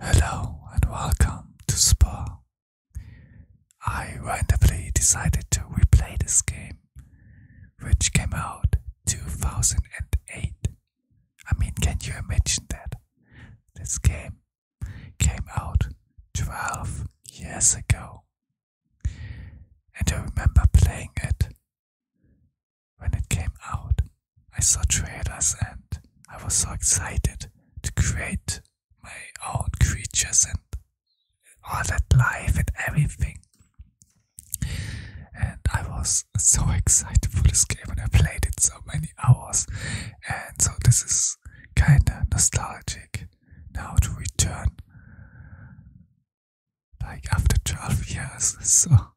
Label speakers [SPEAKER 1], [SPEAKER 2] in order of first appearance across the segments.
[SPEAKER 1] Hello and welcome to Spa. I randomly decided to replay this game, which came out 2008. I mean, can you imagine that? This game came out 12 years ago. And I remember playing it when it came out, I saw trailers and I was so excited to create my own creatures and all that life and everything. And I was so excited for this game and I played it so many hours. And so this is kinda nostalgic now to return like after 12 years. So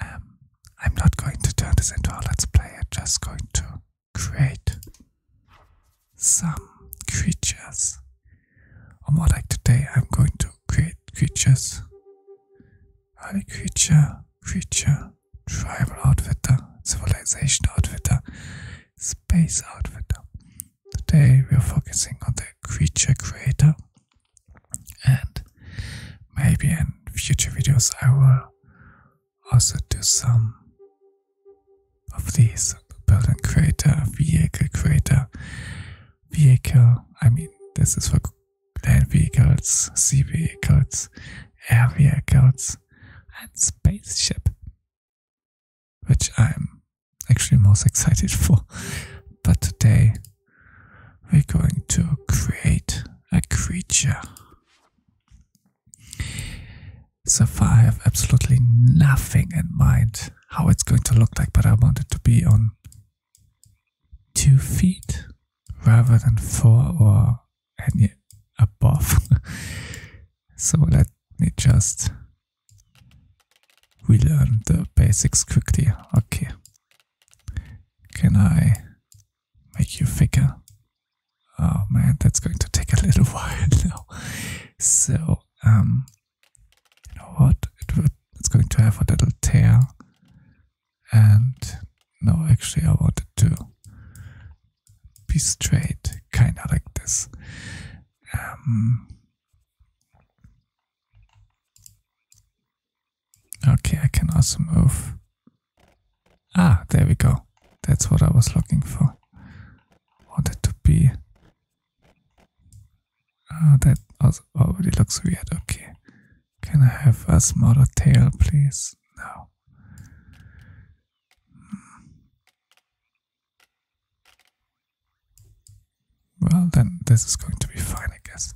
[SPEAKER 1] um, I'm not going to turn this into a let's play, I'm just going to create some creatures. Or more like today, I'm going to create creatures. Early creature, creature, tribal outfitter, civilization outfitter, space outfitter. Today we are focusing on the creature creator and maybe in future videos I will also do some of these building creator, vehicle creator, vehicle. I mean, this is for land vehicles, sea vehicles, air vehicles, and spaceship, which I'm actually most excited for. But today we're going to create a creature. So I have absolutely nothing in mind how it's going to look like, but I want it to be on two feet rather than four or any above. so let me just relearn the basics quickly. Okay, can I make you thicker? Oh man, that's going to take a little while now. So, um, you know what? it's going to have a little tear. And no, actually, I wanted to be straight, kind of like this. Um, Okay, I can also move. Ah, there we go. That's what I was looking for. Wanted to be. Ah, that also already looks weird. Okay. Can I have a smaller tail, please? No. Hmm. Well, then this is going to be fine, I guess.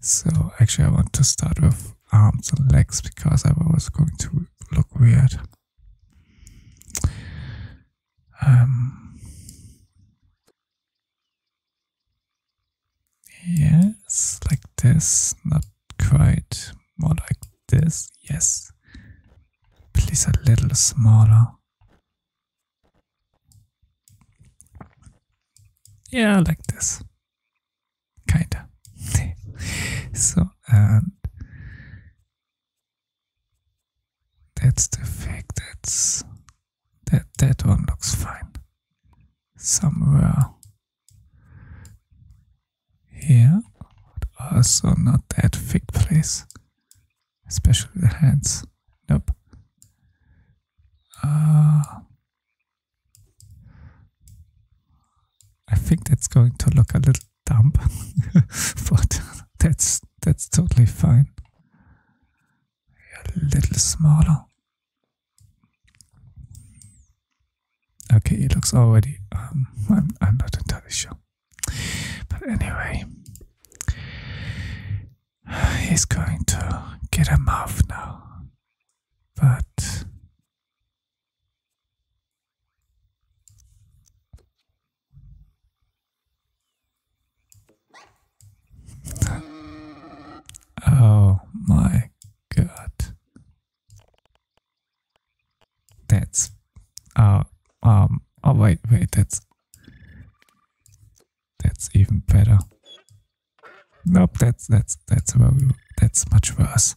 [SPEAKER 1] So actually I want to start with arms and legs because I was going to look weird. Um, yes, like this, not quite, more like this, yes. Please a little smaller. Yeah, like this. Kinda. so, and that's the fig. That's that. That one looks fine. Somewhere here, also not that fig Please, Especially the hands. Nope. Uh, I think that's going to look a little dumb, but that's that's totally fine. A little smaller. Okay, it looks already. Um, I'm I'm not entirely sure, but anyway, He's going to get him off now. But Oh my god. That's uh um oh wait, wait, that's that's even better. Nope, that's that's that's that's much worse.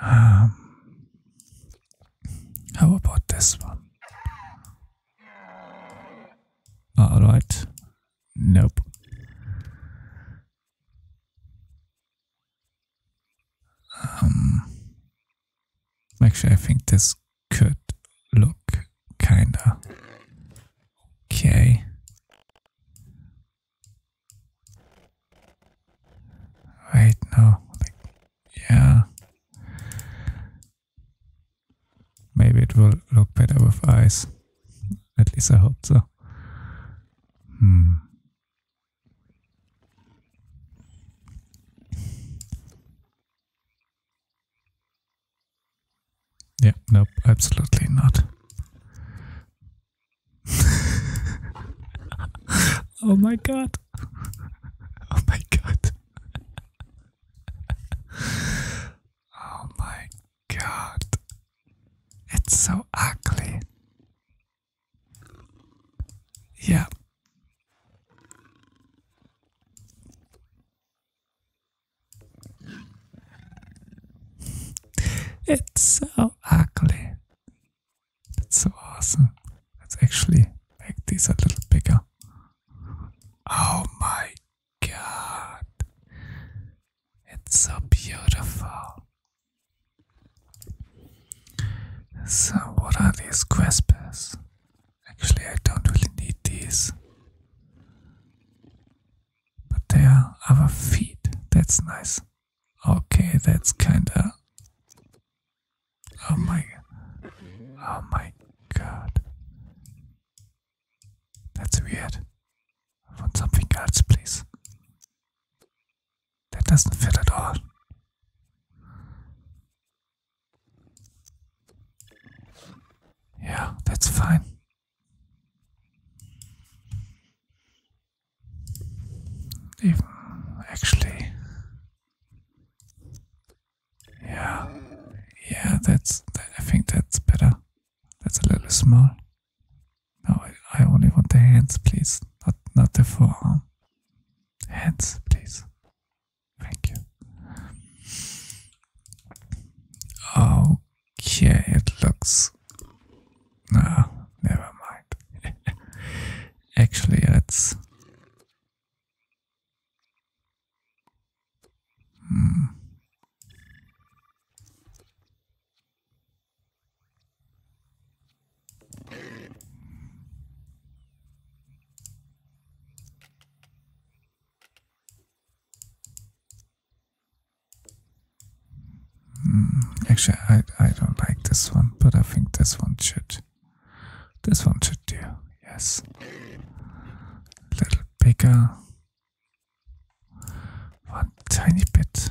[SPEAKER 1] Um, how about this one? All right. Nope. Um, actually, I think this could look kinda okay. Right now, yeah. Maybe it will look better with eyes. At least I hope so. Hmm. Yeah, nope, absolutely not. oh my god. Oh my god. oh my god. It's so ugly. Yeah it's so ugly. That's so awesome. Let's actually make these a little bigger. Oh my god. It's so beautiful. So, what are these Quespers? Actually, I don't really need these. But they are other feet. That's nice. Okay, that's kinda. Oh my. Oh my god. That's weird. I want something else, please. That doesn't fit at all. Yeah, that's fine. Even actually, yeah, yeah, that's. That, I think that's better. That's a little small. No, I only want the hands, please, not not the forearm. Hands, please. Thank you. Okay, it looks. No, never mind. Actually, let's. Hmm. Mm, actually, I, I don't like this one, but I think this one should. This one should do, yes. little bigger. One tiny bit.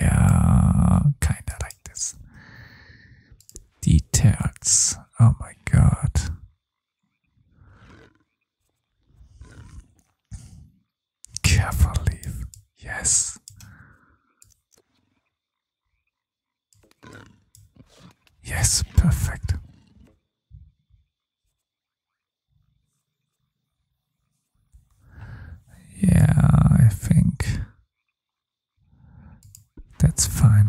[SPEAKER 1] Yeah, kinda like this. Details. Oh my god. Careful Yes. Yes, perfect. Yeah, I think that's fine.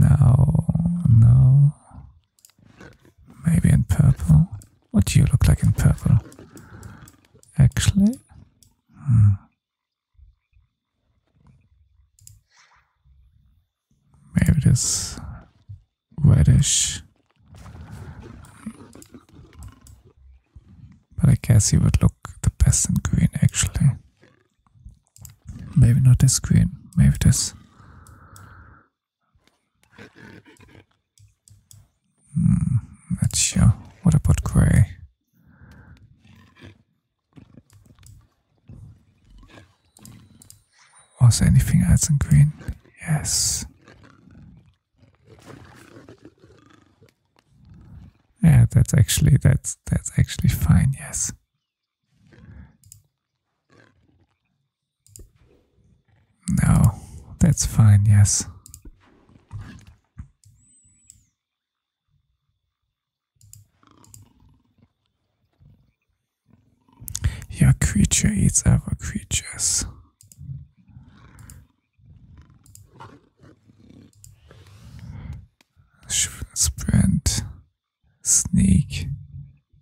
[SPEAKER 1] No, no. Maybe in purple. What do you look like in purple? Actually? Hmm. Maybe it is reddish. But I guess he would look the best in green actually. Maybe not this green, maybe it is. Hmm, not sure. What about grey? Was anything else in green? Yes. Yeah, that's actually that's that's actually fine, yes. No, that's fine, yes. Your creature eats other creatures. Sprint, sneak,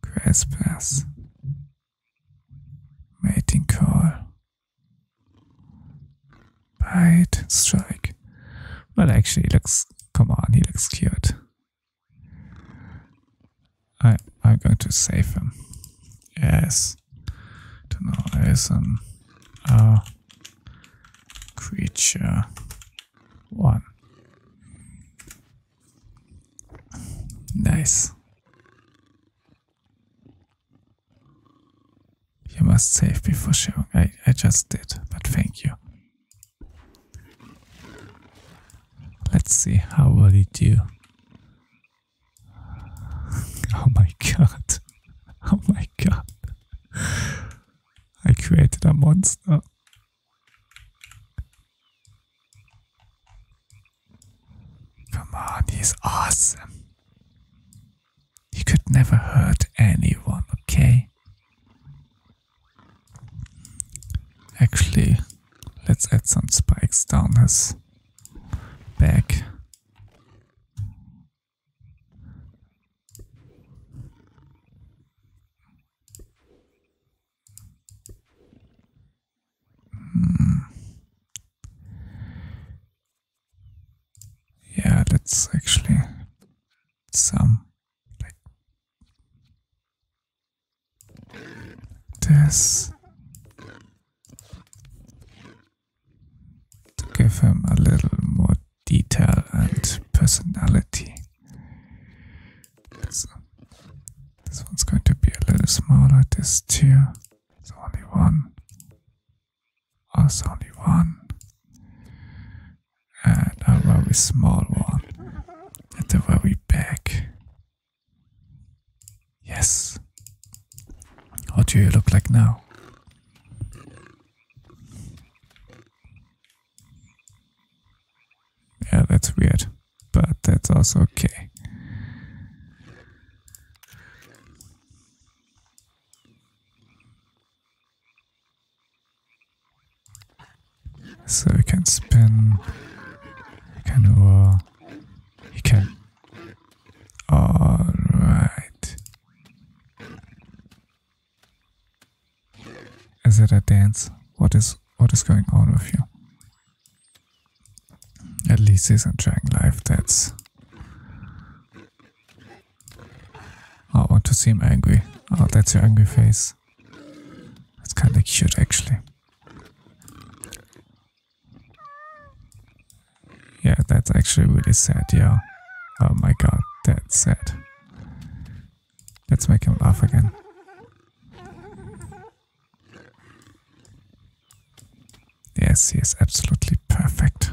[SPEAKER 1] grass mating call, bite, strike. Well, actually, he looks. Come on, he looks cute. I, I'm going to save him. Yes. Tunnel is an uh, creature one. Nice. You must save before showing. I, I just did, but thank you. Let's see how will it do. oh my god. Oh my god. I created a monster. Come on, he's awesome. He could never hurt anyone, okay? Actually, let's add some spikes down his back. Hmm. Yeah, let's actually some like this to give him a little more detail and personality. this one's going to be a little smaller. This too. It's only one. Oh, it's only one and a very small one at the very back. Yes. What do you look like now? Yeah, that's weird, but that's also okay. So you can spin, you can roll, you uh, can. Alright. Is it a dance? What is what is going on with you? At least he's enjoying life, that's I want to seem angry. Oh, that's your angry face. That's kind of cute, actually. Yeah, that's actually really sad, yeah. Oh my god, that's sad. Let's make him laugh again. Yes, he is absolutely perfect.